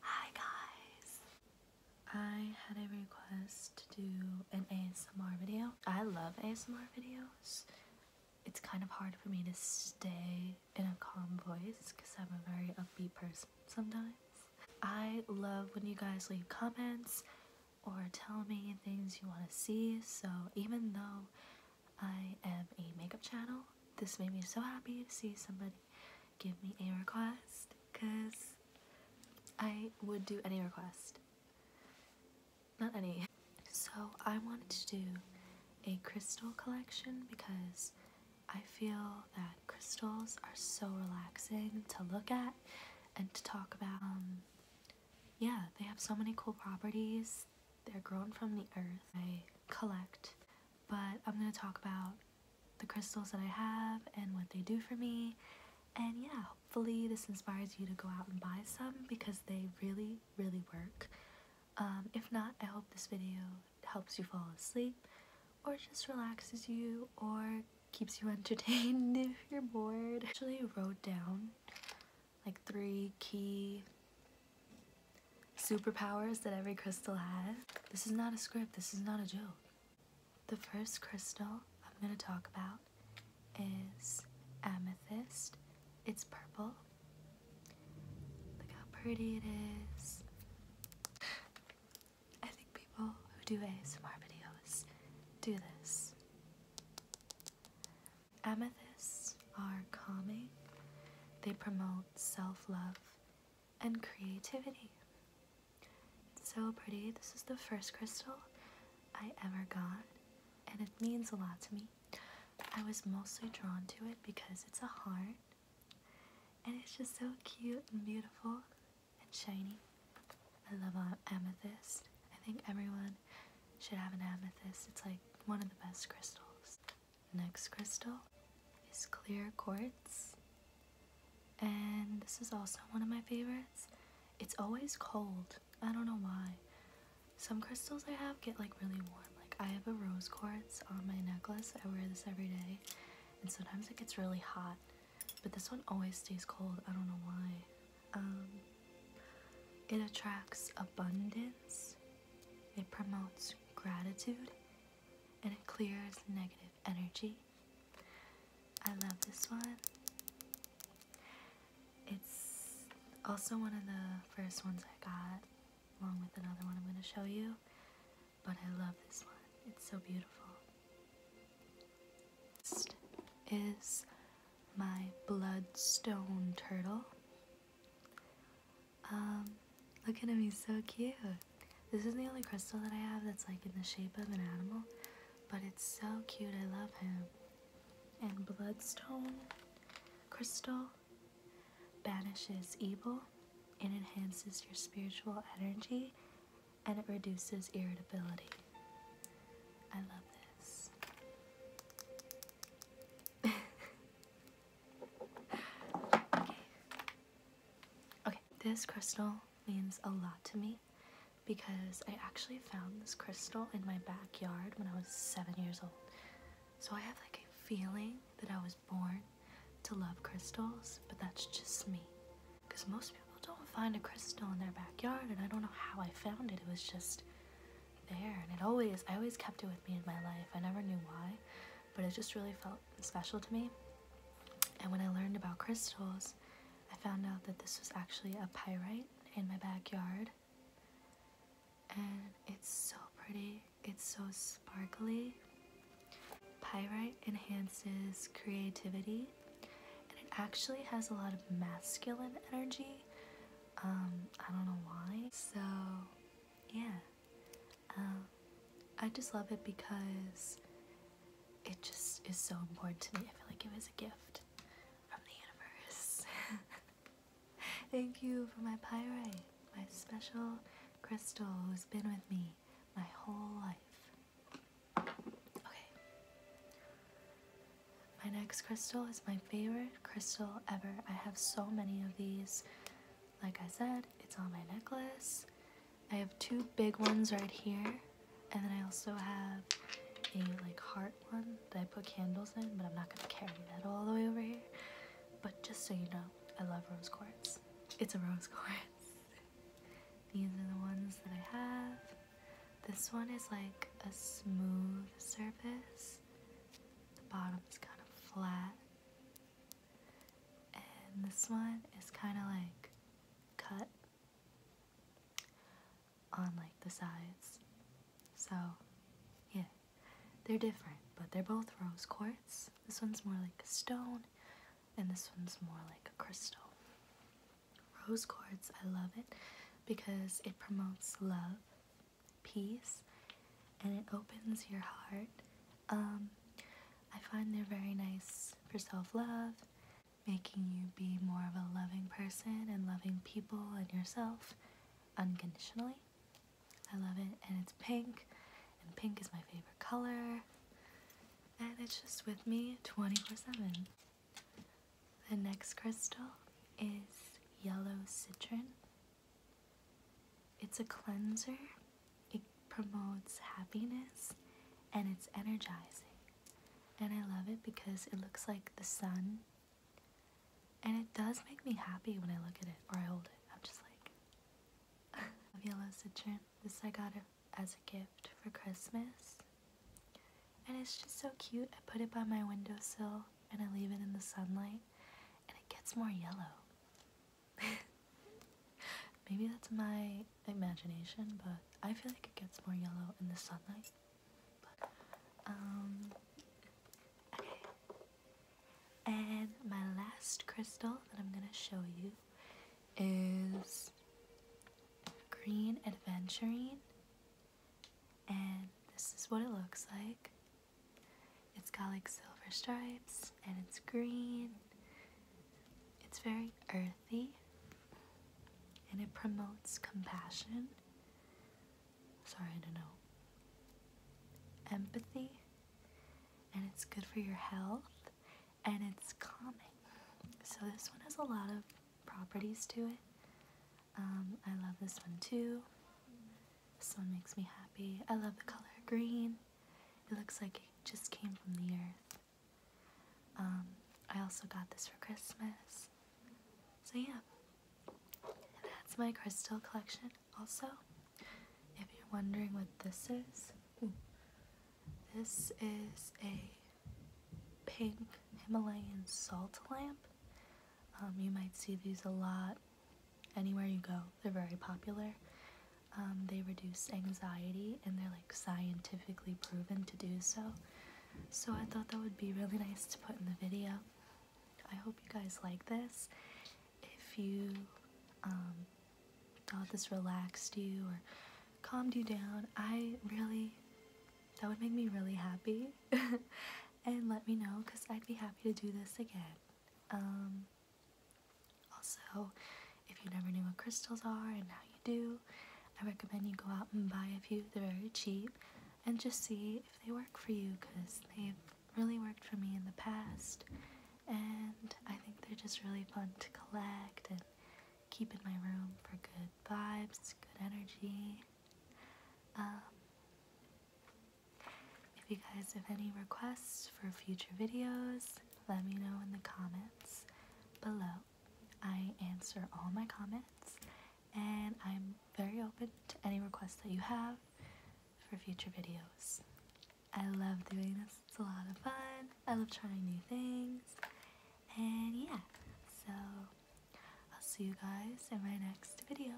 Hi guys! I had a request to do an ASMR video. I love ASMR videos. It's kind of hard for me to stay in a calm voice because I'm a very upbeat person sometimes. I love when you guys leave comments or tell me things you want to see, so even though I am a makeup channel, this made me so happy to see somebody give me a request because I would do any request. Not any. So I wanted to do a crystal collection because I feel that crystals are so relaxing to look at and to talk about. Um, yeah, they have so many cool properties. They're grown from the earth. I collect, but I'm going to talk about the crystals that I have and what they do for me. And yeah, hopefully this inspires you to go out and buy some because they really, really work. Um, if not, I hope this video helps you fall asleep or just relaxes you or keeps you entertained if you're bored. actually wrote down like three key superpowers that every crystal has. This is not a script, this is not a joke. The first crystal I'm going to talk about is amethyst. It's purple. Look how pretty it is. I think people who do ASMR videos do this. Amethysts are calming. They promote self-love and creativity. It's so pretty. This is the first crystal I ever got, and it means a lot to me. I was mostly drawn to it because it's a heart, and it's just so cute and beautiful and shiny. I love amethyst. I think everyone should have an amethyst. It's like one of the best crystals. Next crystal is clear quartz. And this is also one of my favorites. It's always cold. I don't know why. Some crystals I have get like really warm. Like I have a rose quartz on my necklace. I wear this every day. And sometimes it gets really hot. But this one always stays cold. I don't know why. Um, it attracts abundance. It promotes gratitude and it clears negative energy. I love this one. It's also one of the first ones I got, along with another one I'm going to show you. But I love this one, it's so beautiful. Next is my Bloodstone Turtle. Um, look at him, he's so cute. This is the only crystal that I have that's like in the shape of an animal, but it's so cute, I love him. And bloodstone crystal banishes evil, it enhances your spiritual energy, and it reduces irritability. I love this. okay. Okay, this crystal means a lot to me because I actually found this crystal in my backyard when I was seven years old. So I have like a feeling that I was born to love crystals, but that's just me. Because most people don't find a crystal in their backyard, and I don't know how I found it. It was just there, and it always, I always kept it with me in my life. I never knew why, but it just really felt special to me. And when I learned about crystals, I found out that this was actually a pyrite in my backyard. And it's so pretty, it's so sparkly. Pyrite enhances creativity and it actually has a lot of masculine energy. Um, I don't know why. So, yeah. Um, I just love it because it just is so important to me. I feel like it was a gift from the universe. Thank you for my pyrite, my special crystal who's been with me my whole life. Okay. My next crystal is my favorite crystal ever. I have so many of these. Like I said, it's on my necklace. I have two big ones right here, and then I also have a like heart one that I put candles in, but I'm not gonna carry that all the way over here. But just so you know, I love rose quartz. It's a rose quartz. These are the ones that I have. This one is like a smooth surface. The bottom is kind of flat. And this one is kind of like cut on like the sides. So, yeah, they're different, but they're both rose quartz. This one's more like a stone, and this one's more like a crystal. Rose quartz, I love it because it promotes love, peace, and it opens your heart um, I find they're very nice for self love, making you be more of a loving person and loving people and yourself unconditionally. I love it, and it's pink, and pink is my favorite color, and it's just with me 24 7. The next crystal is yellow citron. It's a cleanser, it promotes happiness, and it's energizing. And I love it because it looks like the sun. And it does make me happy when I look at it or I hold it. I'm just like, love yellow citron. This I got it as a gift for Christmas. And it's just so cute. I put it by my windowsill and I leave it in the sunlight and it gets more yellow. Maybe that's my imagination, but I feel like it gets more yellow in the sunlight. um, okay. And my last crystal that I'm gonna show you is green adventurine, and this is what it looks like. It's got like silver stripes and it's green. It's very earthy and it promotes compassion. Sorry, I don't know. Empathy and it's good for your health and it's calming. So this one has a lot of properties to it. Um, I love this one too. This one makes me happy. I love the color green. It looks like it just came from the earth. Um, I also got this for Christmas. So yeah, that's my crystal collection. Also, if you're wondering what this is, this is a pink Himalayan salt lamp. Um, you might see these a lot anywhere you go. They're very popular. Um, they reduce anxiety and they're like scientifically proven to do so. So I thought that would be really nice to put in the video. I hope you guys like this. If you um, thought this relaxed you or calmed you down, I really, that would make me really happy. and let me know because I'd be happy to do this again. Um, also, if you never knew what crystals are and now you do, I recommend you go out and buy a few. They're very cheap and just see if they work for you because they've really worked for me in the past. And I think they're just really fun to collect and keep in my room for good vibes, good energy. Um, if you guys have any requests for future videos, let me know in the comments below. I answer all my comments and I'm very open to any requests that you have for future videos. I love doing this, it's a lot of fun. I love trying new things. And yeah, so I'll see you guys in my next video.